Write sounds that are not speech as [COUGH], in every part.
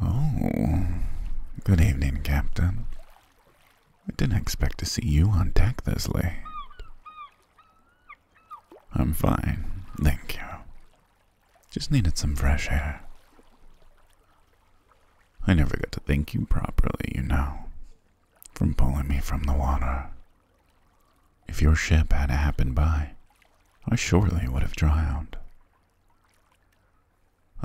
Oh, good evening, Captain. I didn't expect to see you on deck this late. I'm fine, thank you. Just needed some fresh air. I never got to thank you properly, you know, from pulling me from the water. If your ship had happened by, I surely would have drowned.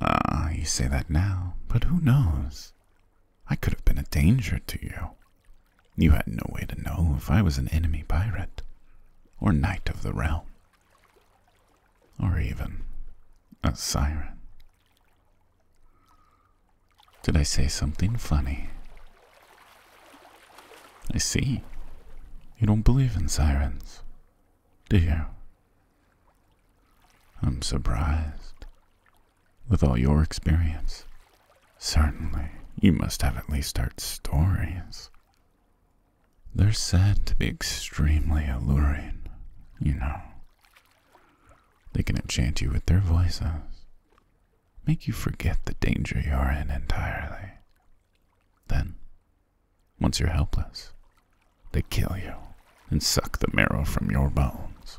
Ah, you say that now, but who knows? I could have been a danger to you. You had no way to know if I was an enemy pirate, or knight of the realm, or even a siren. Did I say something funny? I see. You don't believe in sirens, do you? I'm surprised. With all your experience, certainly you must have at least heard stories. They're said to be extremely alluring, you know. They can enchant you with their voices, make you forget the danger you're in entirely, then, once you're helpless, they kill you and suck the marrow from your bones.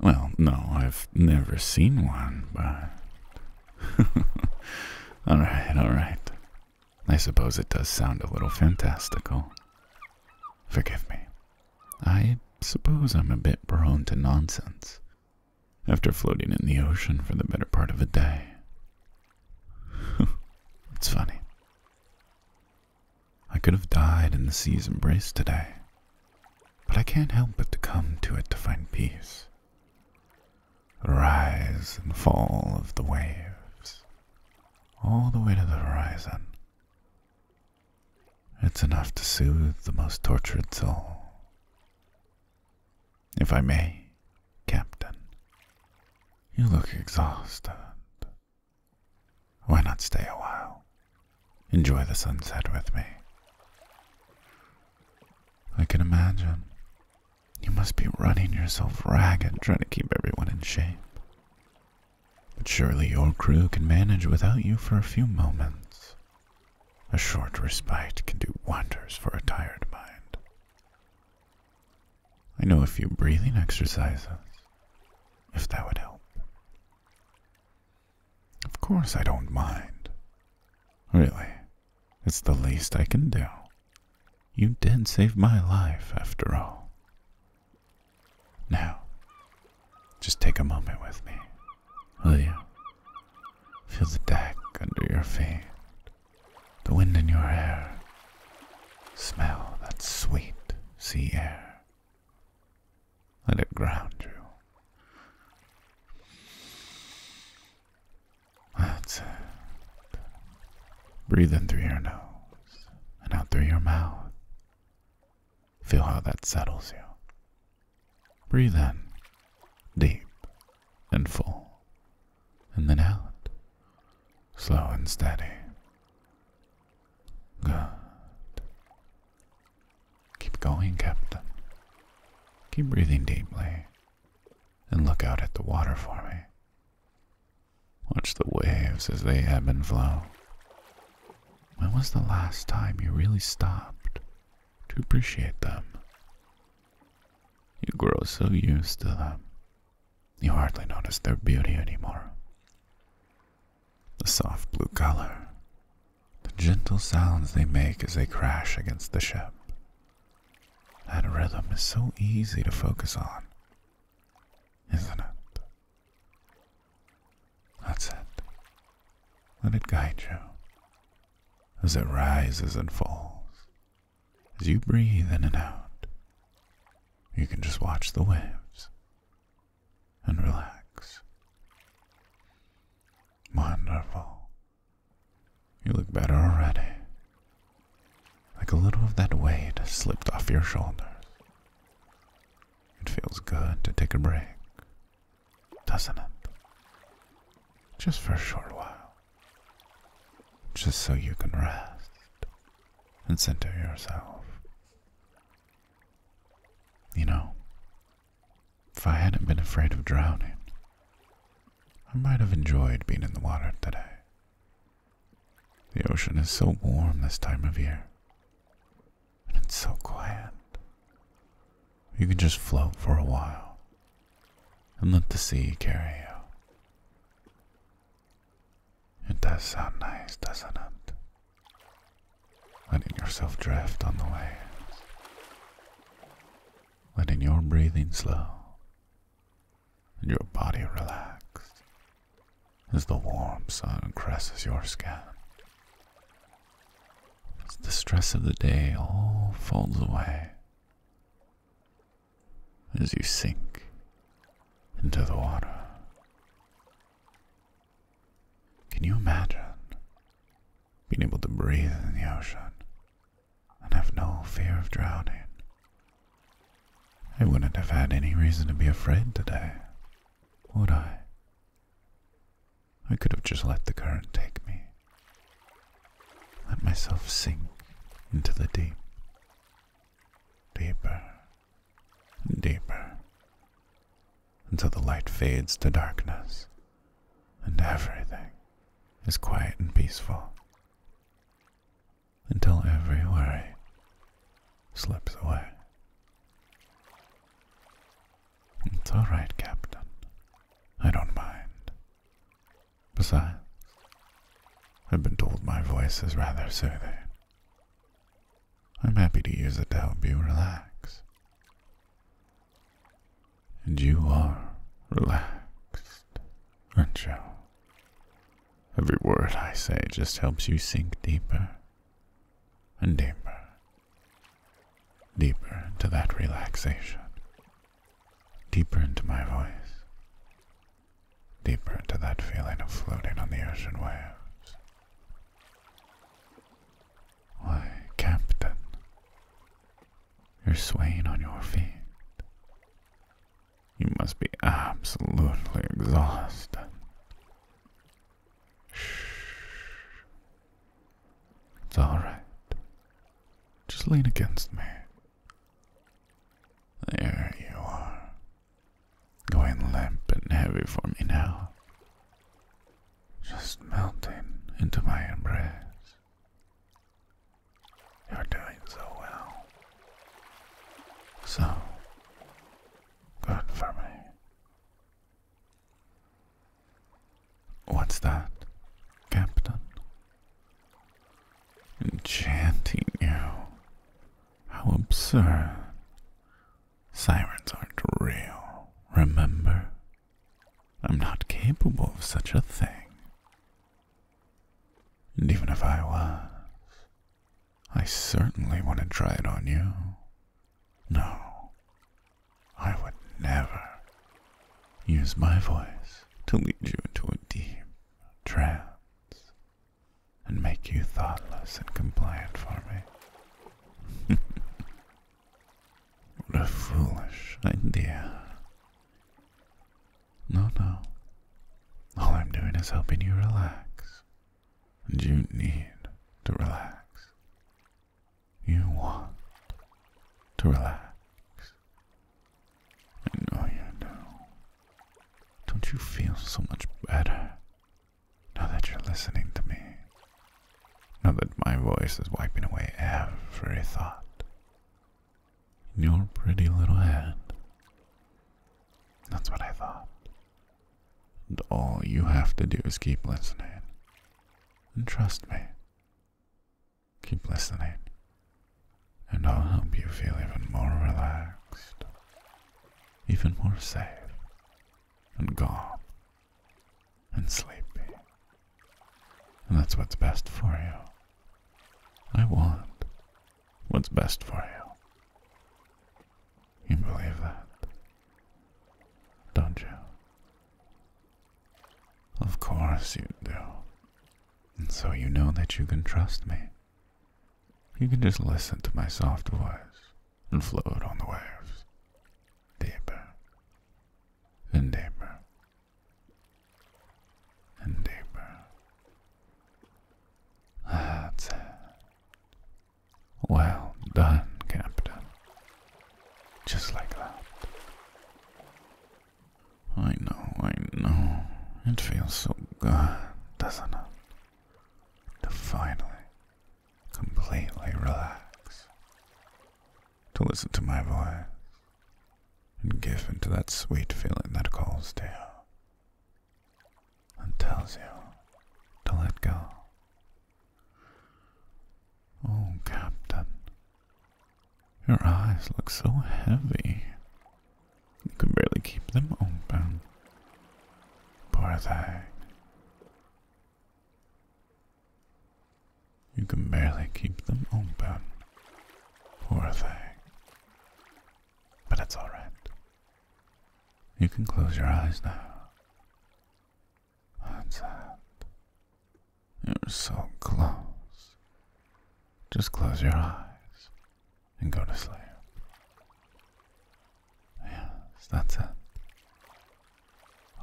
Well, no, I've never seen one, but. [LAUGHS] alright, alright. I suppose it does sound a little fantastical. Forgive me. I suppose I'm a bit prone to nonsense, after floating in the ocean for the better part of a day. [LAUGHS] it's funny. I could have died in the sea's embrace today, but I can't help but to come to it to find peace. The rise and fall of the waves, all the way to the horizon, it's enough to soothe the most tortured soul. If I may, Captain, you look exhausted. Why not stay a while? Enjoy the sunset with me. I can imagine. You must be running yourself ragged trying to keep everyone in shape. But surely your crew can manage without you for a few moments. A short respite can do wonders for a tired mind. I know a few breathing exercises, if that would help. Of course, I don't mind. Really, it's the least I can do. You did save my life, after all. Now, just take a moment with me Will you? Feel the deck under your feet, the wind in your hair. Smell that sweet sea air. Let it ground you. That's it. Breathe in through your nose and out through your mouth. Feel how that settles you. Breathe in, deep and full, and then out, slow and steady. Good. Keep going, Captain. Keep breathing deeply and look out at the water for me. Watch the waves as they ebb and flow. When was the last time you really stopped to appreciate them? You grow so used to them, you hardly notice their beauty anymore. The soft blue color, the gentle sounds they make as they crash against the ship. That rhythm is so easy to focus on, isn't it? That's it. Let it guide you as it rises and falls, as you breathe in and out. You can just watch the waves and relax. Wonderful. You look better already. Like a little of that weight has slipped off your shoulders. It feels good to take a break, doesn't it? Just for a short while. Just so you can rest and center yourself. You know, if I hadn't been afraid of drowning, I might have enjoyed being in the water today. The ocean is so warm this time of year it's so quiet. You can just float for a while and let the sea carry you. It does sound nice, doesn't it? Letting yourself drift on the waves, letting your breathing slow and your body relax as the warm sun caresses your skin. As the stress of the day all folds away, as you sink into the water. Can you imagine being able to breathe in the ocean and have no fear of drowning? I wouldn't have had any reason to be afraid today would I? I could have just let the current take me, let myself sink into the deep, deeper and deeper, until the light fades to darkness and everything is quiet and peaceful, until every worry slips away. It's all right, Captain. I don't mind. Besides, I've been told my voice is rather soothing. I'm happy to use it to help you relax. And you are relaxed, aren't you? Every word I say just helps you sink deeper and deeper, deeper into that relaxation, deeper into my voice, deeper into that feeling of floating on the ocean waves. Why, Captain, you're swaying on your feet. You must be absolutely exhausted. Shh. It's alright. Just lean against me. There you are. Going limp and heavy for me now. Just melting into my embrace. You're doing so well. So, Good for me. What's that, Captain? Enchanting you. How absurd. Sirens aren't real, remember? I'm not capable of such a thing. And even if I was, I certainly want to try it on you. No, I would never use my voice to lead you into a deep trance and make you thoughtless and compliant for me. [LAUGHS] what a foolish idea. No, no. All I'm doing is helping you relax and you need to relax. You want to relax. I know you do. Don't you feel so much better now that you're listening to me? Now that my voice is wiping away every thought in your pretty little head. That's what I thought. And all you have to do is keep listening. And trust me. Keep listening. And I'll help you feel even more relaxed, even more safe, and calm, and sleepy. And that's what's best for you. I want what's best for you. You believe that, don't you? Of course you do. And so you know that you can trust me. You can just listen to my soft voice and float on the waves, deeper and deeper and deeper that's Well done, Captain. Just like that. I know, I know. It feels so good, doesn't it? To finally, completely relax. To listen to my voice and give into that sweet feeling that calls to you and tells you to let go. Oh, Captain, your eyes look so heavy. You can barely keep them open. Poor thing. You can barely keep them open. Poor thing. But it's alright. You can close your eyes now. That's it. You're so close. Just close your eyes and go to sleep. Yes, that's it.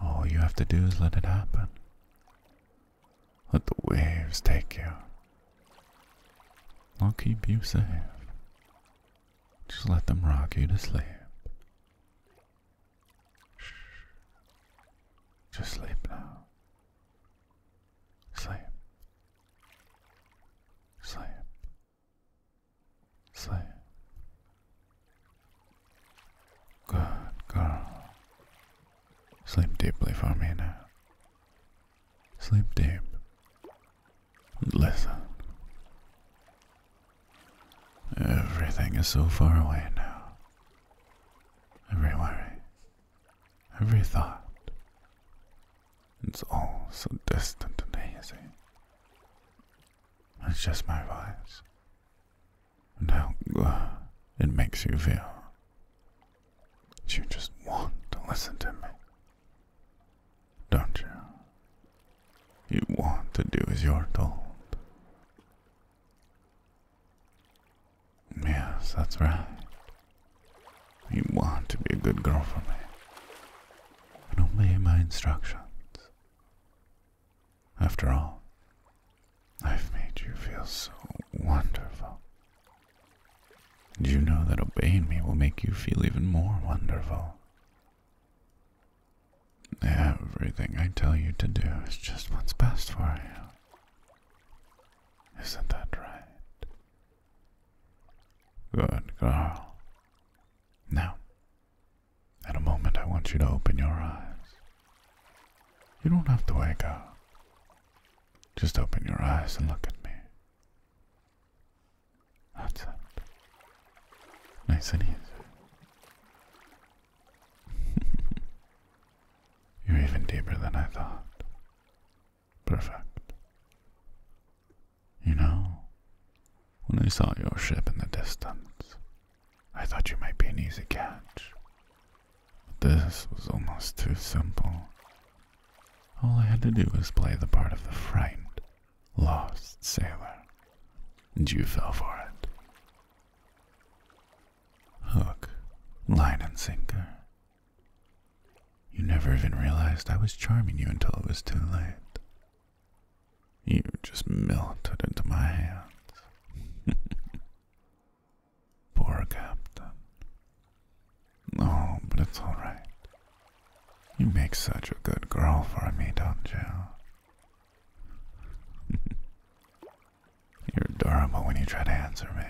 All you have to do is let it happen. Let the waves take you. I'll keep you safe. Just let them rock you to sleep. Shh. Just sleep now. Sleep. Sleep. Sleep. Good girl. Sleep deeply for me now. Sleep deep. and Listen. Everything is so far away now. Every worry, every thought. It's all so distant and hazy. It's just my voice. And how good uh, it makes you feel you just want to listen to me, don't you? You want to do as you're told. Yes, that's right. You want to be a good girl for me and obey my instructions. After all, I've made you feel so wonderful. And you know that obeying me will make you feel even more wonderful. Everything I tell you to do is just what's best for you. Isn't that right? Good girl. Now, at a moment, I want you to open your eyes. You don't have to wake up. Just open your eyes and look at me. That's it. Nice and easy. [LAUGHS] You're even deeper than I thought. Perfect. You know, when I saw your ship in the distance, I thought you might be an easy catch. This was almost too simple. All I had to do was play the part of the frightened, lost sailor, and you fell for it. Hook, line, and sinker. You never even realized I was charming you until it was too late. You just melted into my hands. [LAUGHS] Poor Captain. Oh, but it's alright. You make such a good girl for me, don't you? [LAUGHS] You're adorable when you try to answer me.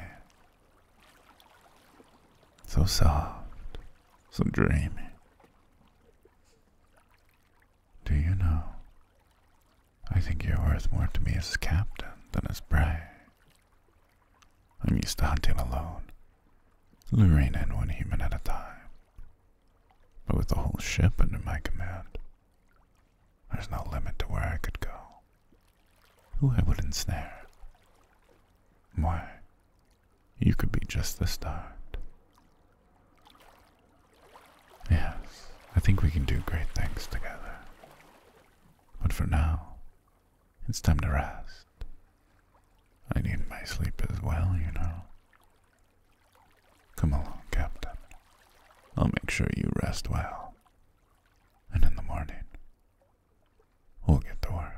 So soft, so dreamy. Do you know I think you're worth more to me as captain than as prey. I'm used to hunting alone, luring in one human at a time. But with the whole ship under my command, there's no limit to where I could go, who I would ensnare. Why, you could be just the start. Yes, I think we can do great things together. But for now, it's time to rest. I need my sleep as well, you know. Come along, Captain. I'll make sure you rest well. And in the morning, we'll get to work.